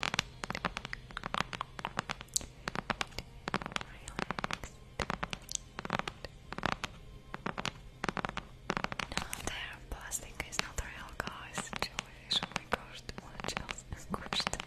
No, their plastic is not real, guys. Jellyfish only cost much else is squished. Welcome.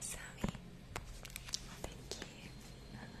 Sammy, thank you.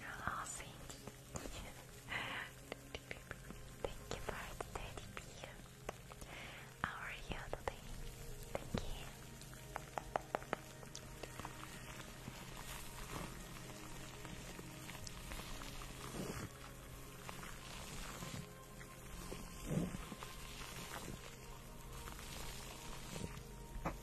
Oh, thank you. thank you for the teddy bear. How are Thank you.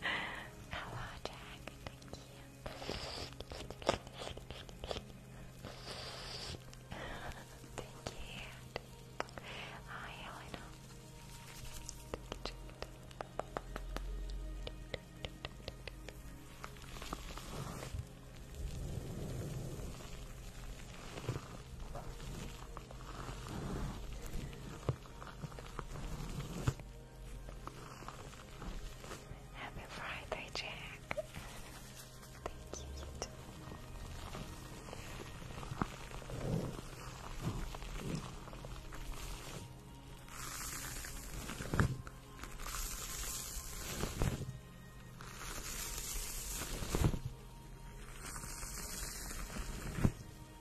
Hello, Jack. Thank you. Thank you. Hi, Elena. Happy Friday, Jack. Thank you, you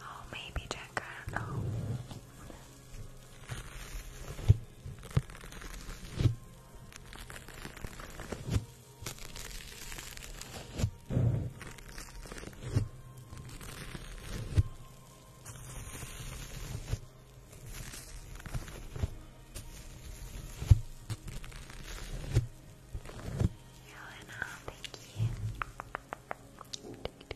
Oh, maybe Jack, I don't know. Helena, thank you. Thank you,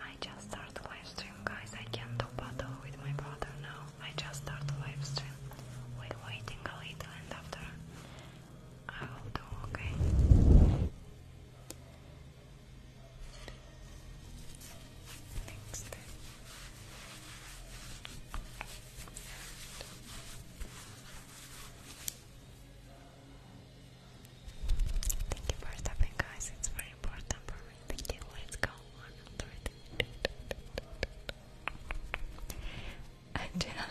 I just started livestream, guys. I can't do battle with my brother now. I just started livestream. we waiting a little, and after I will do okay. Next. And Thank you for stopping, guys. It's very important for me. Thank you. Let's go on. Okay.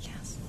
Yes. Relaxing.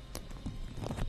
Thank you for tapping.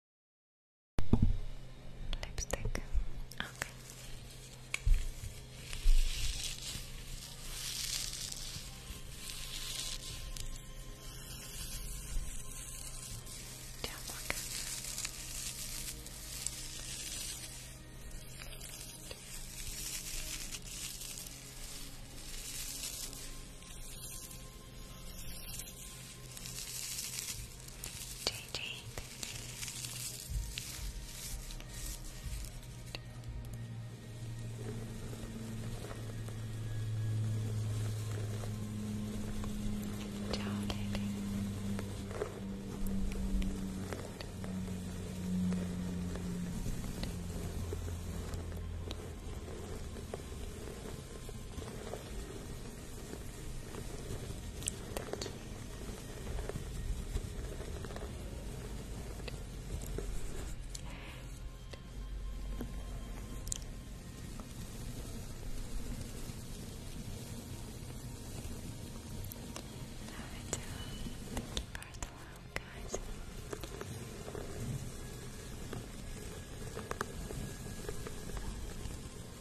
Lipstick. Okay. Yeah, okay. Okay. JJ. Ciao, Lily. Thank guys. Thank you for the guys.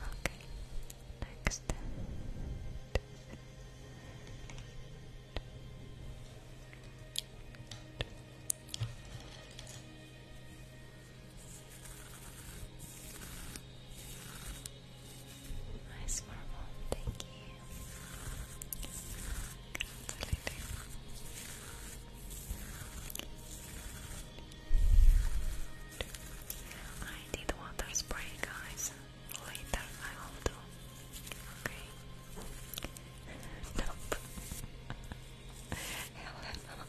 Okay. Next. Nice marble, thank you. I did water spray, guys. Later I will do. Okay. nope. Helena.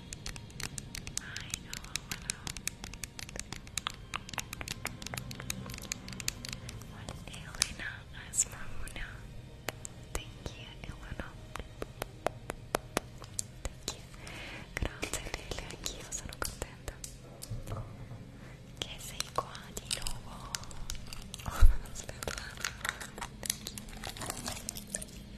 Elena as Mamuna. Thank you, Elena. Thank you. Grazie mille, anch'io sono contenta. Che sei qua di nuovo. Thank you.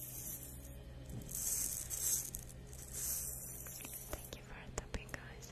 Thank you for tapping, guys.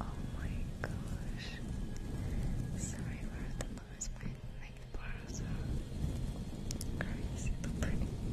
Oh my gosh. Sorry for the noise, my neck bars are crazy Thank you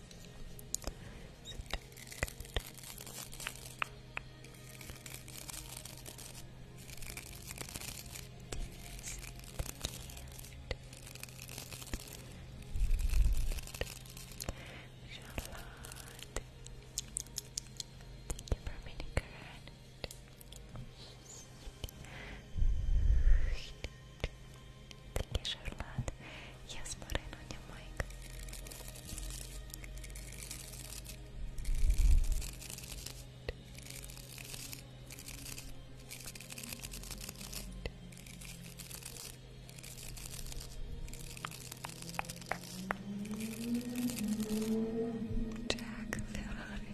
Thank you for being correct. Такий жерлет. Я з маринання майк. Jack Ferrari.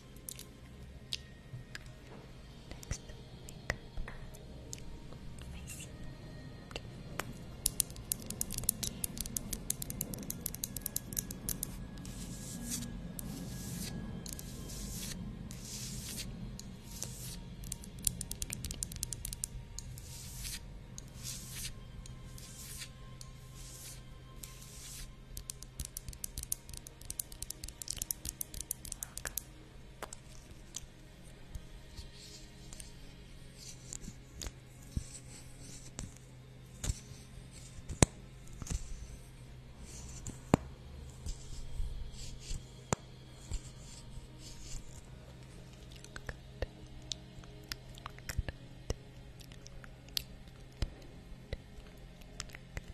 Next makeup face. Thank you. Welcome. Good. Good.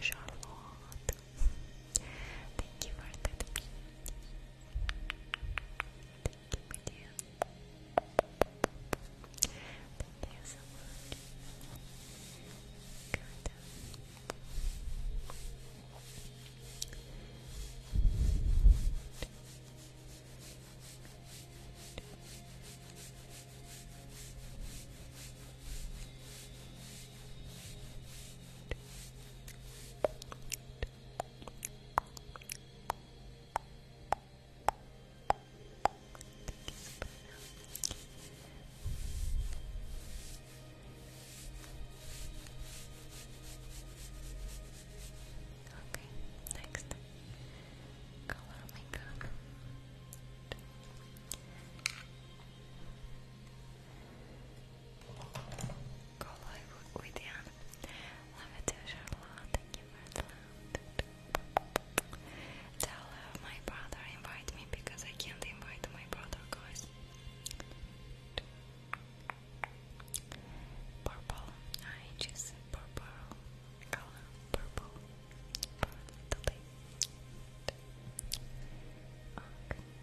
Charlotte, thank you for that. Thank you, Thank you so much. Good. Okay, next color my gun. Kolay uyuyan. Love it, Charlotte. Thank you for the love. Tell my brother invite me because I can't invite my brother, guys. Purple. I just purple color. Purple. Purple thank you.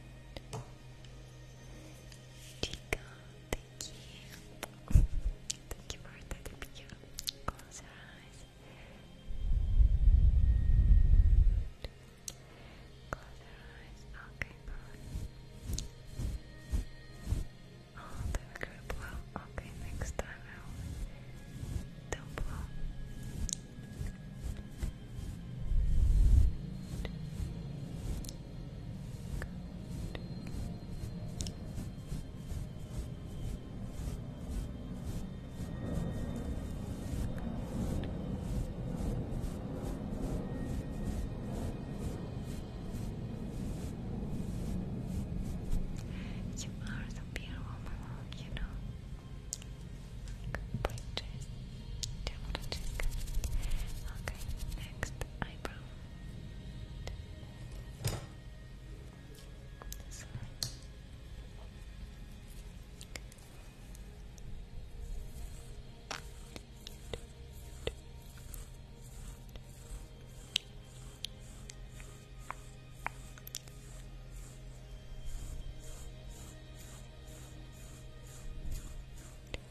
thank you for that Close your eyes. Close your eyes. Okay, good. Oh, they blow. Okay, next time don't blow. You are the beautiful, you know pointers double check okay, next eyebrow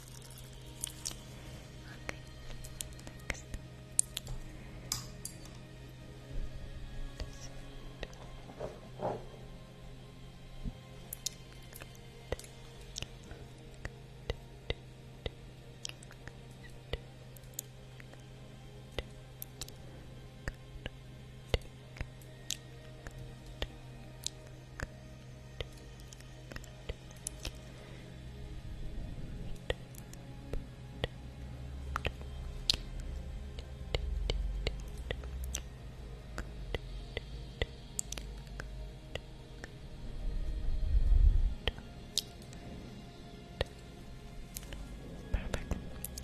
Okay, next. Good. Good. Good. Perfect. Next. Mascara.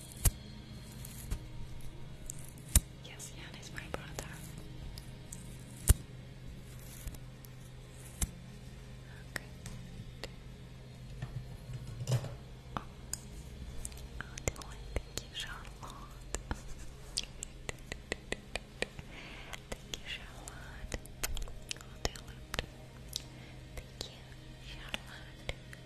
Yes, Jan is my brother. Okay. Oh, thank you, Charlotte. thank you, Charlotte. Thank you, Charlotte.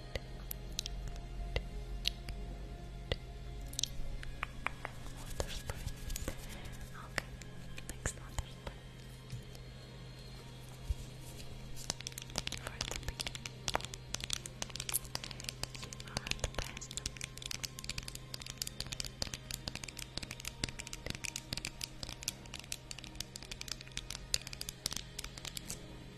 Water spray. Okay, next water spray. For the pig. You are the best. Okay,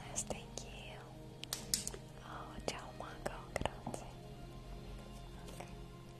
Nice, thank you. Oh, tchau, Mago. grande.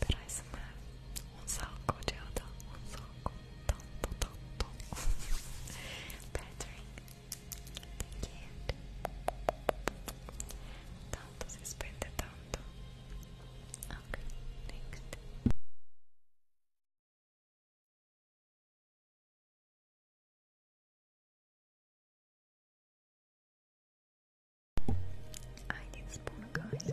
Perhaizme un sacco ci ho dato tanto tanto Patrick thank you tanto si spende tanto ok next I need a spoon, guys.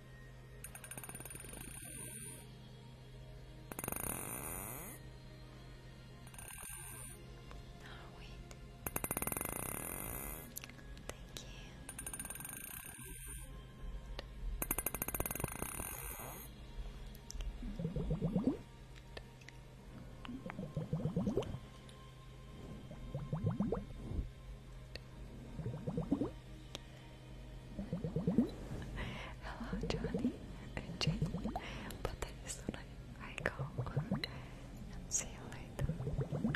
Oh, wait. Thank you. Good. Hello, Johnny and Jane. But that is when I, I go. And see you later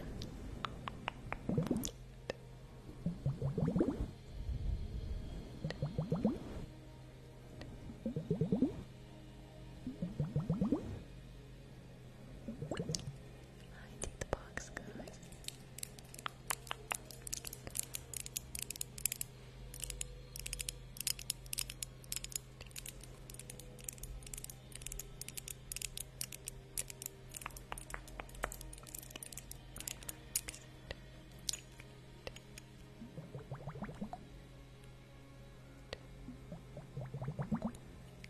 hiding the box, guys. Relax.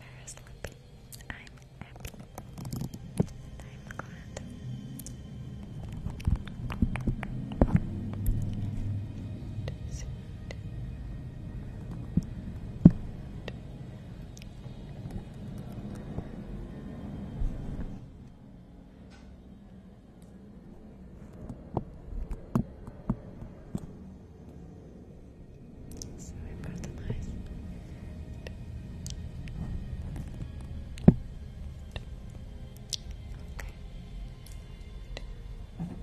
Very sleepy. I'm happy. I'm glad. Just so I've got the nice Okay. Okay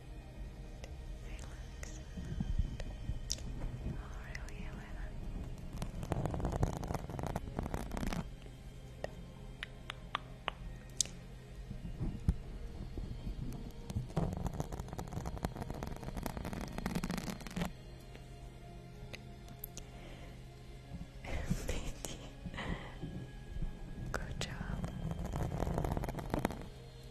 relax you are really Good job.